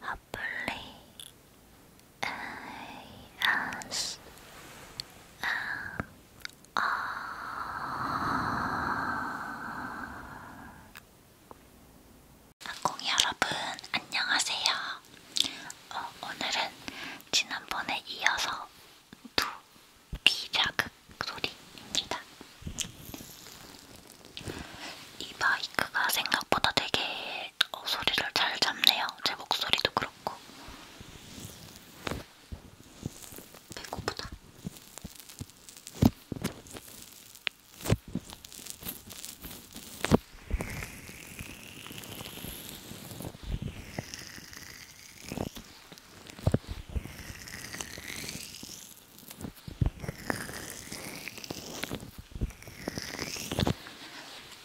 아플리 AS 아콩이 여러분 안녕하세요. 어, 오늘은 지난번에 이어서 두귀 자극 소리입니다. 이 마이크가 생각보다 되게 어, 소리를 잘 잡네요. 제 목소리도 그렇고. 배고프다.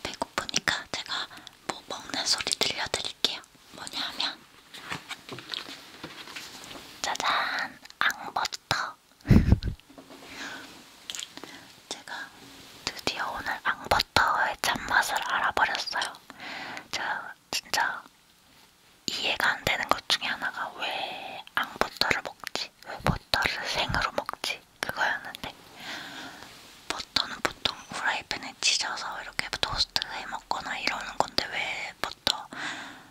배고프니까 제가 뭐 먹는 소리 들려드릴게요. 뭐냐면 짜잔! 앙버터! 제가 드디어 오늘 앙버터 버터의 참맛을 알아버렸어요. 제가 진짜 이해가 안 되는 것 중에 하나가 왜 앙버터를 먹지? 왜 버터를 생으로 먹지? 그거였는데 버터는 보통 프라이팬에 찢어서 이렇게 토스트해 먹거나 이러는 건데 왜 버터,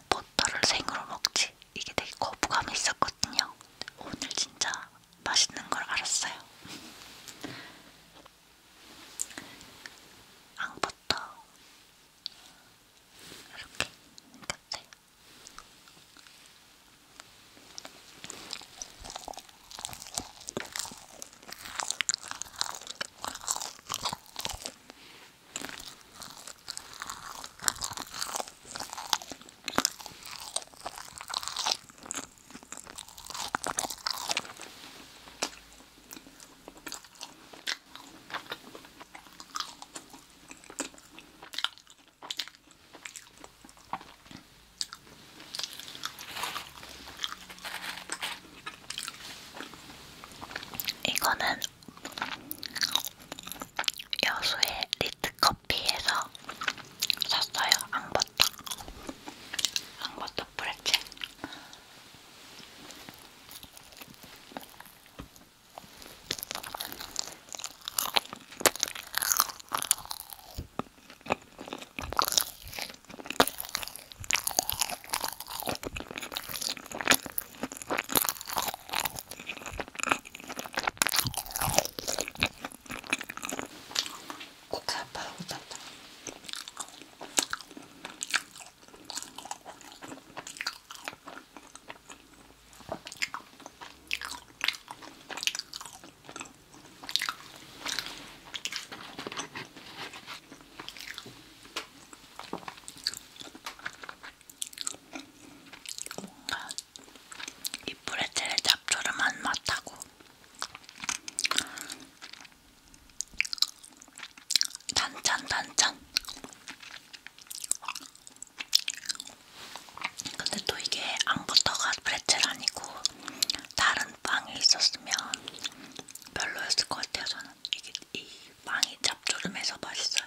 버터를 생으로 먹지? 이게 되게 거부감이 있었거든요. 오늘 진짜 맛있는 걸 알았어요. 앙버터 이렇게 생겼대요. 이거는 여수의 리트컵 커피에서 샀어요. 앙버터. 앙버터 프레첼. 국회 아빠라고 떴다. 뭔가 이 브레첼의 잡초름한 맛하고 단짠 단짠. 근데 또 이게 앙부터가 브레첼 아니고 다른 빵이 있었으면 별로였을 것 같아요. 저는 이게 이 빵이 짭조름해서 맛있어요.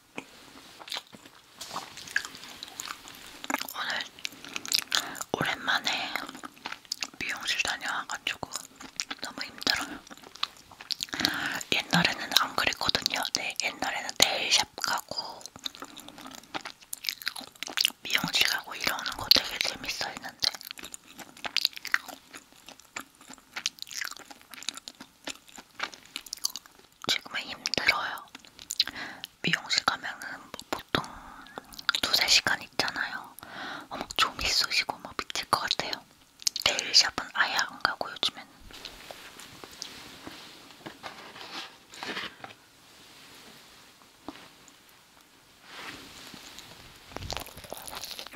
오늘 오랜만에 미용실 다녀와가지고 너무 힘들어요. 옛날에는 안 그랬거든요. 네, 옛날에는 네일샵 가고 미용실 가고 이러는 거 되게 재밌어 했는데 지금은 힘들어요. 미용실 가면은 뭐 보통 두세 시간 있잖아요. 어, 막 좀이 쑤시고 막 미칠 것 같아요. 데일샵은 아예 안 가고 요즘엔.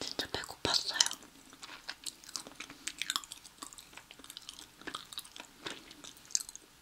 진짜 배고팠어요.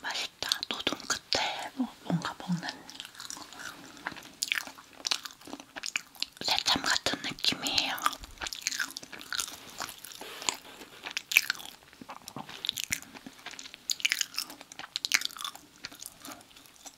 맛있다. 노동 끝에 뭐 뭔가 먹는 새참 같은 느낌이에요.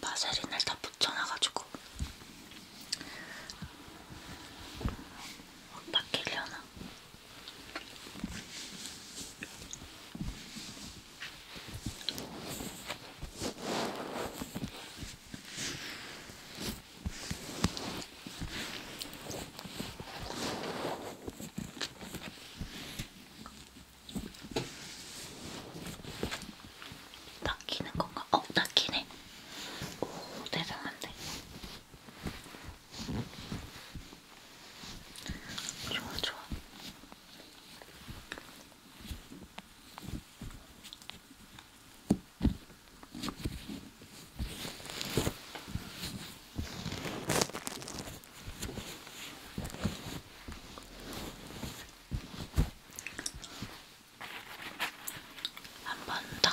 바세린을 다 붙여놔가지고 못 바뀌려나? 닦이는 건가? 어, 닦이네. 오, 대단한데. 좋아, 좋아. 한번 더.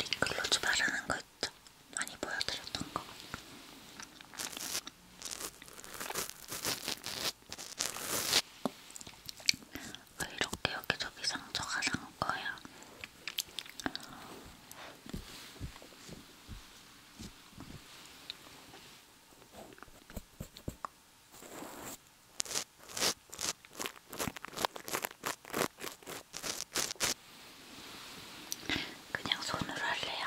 립글로즈 바르는 거 있죠? 많이 보여드렸던 거. 왜 이렇게 여기저기 상처가 난 거야? 그냥 손으로 할래요.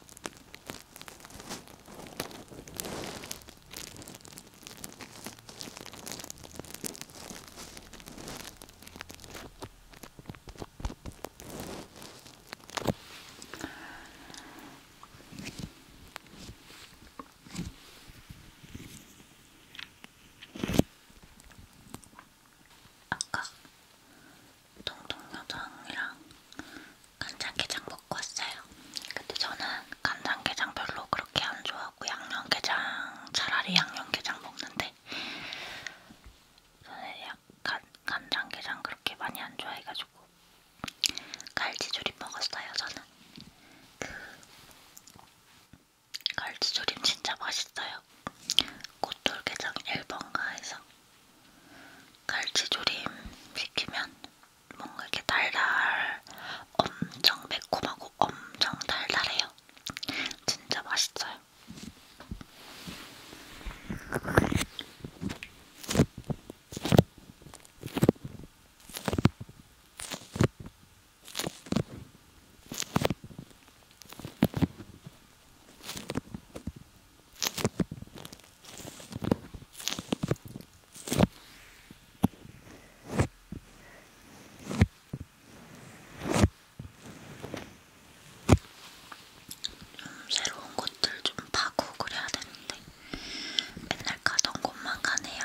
아까 동동여장이랑 간장게장 먹고 왔어요. 근데 저는 간장게장 별로 그렇게 안 좋아하고 양념게장 차라리 양념게장 먹는데 저는 약간 간장게장 그렇게 많이 안 좋아해가지고 갈치조림 먹었어요. 저는 그 갈치조림 진짜 맛있어요. 꽃돌게장 1번가에서 갈치조림 시키면 뭔가 이렇게 달달, 엄청 매콤하고 엄청 달달해요. 진짜 맛있어요. 좀 새로운 곳들 좀 파고 그래야 되는데 맨날 가던 곳만 가네요.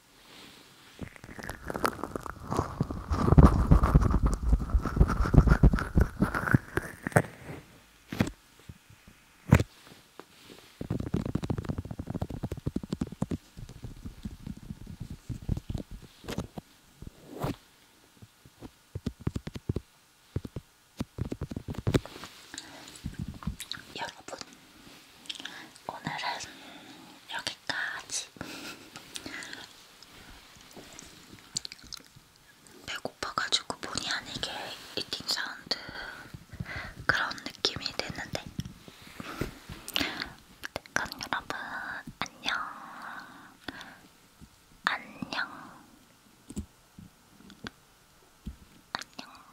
여러분, 오늘은 여기까지 여기까지. 배고파가지고 본의 아니게 이팅 사운드 그런 느낌이 드는데. 그럼 여러분 안녕. 안녕. 안녕.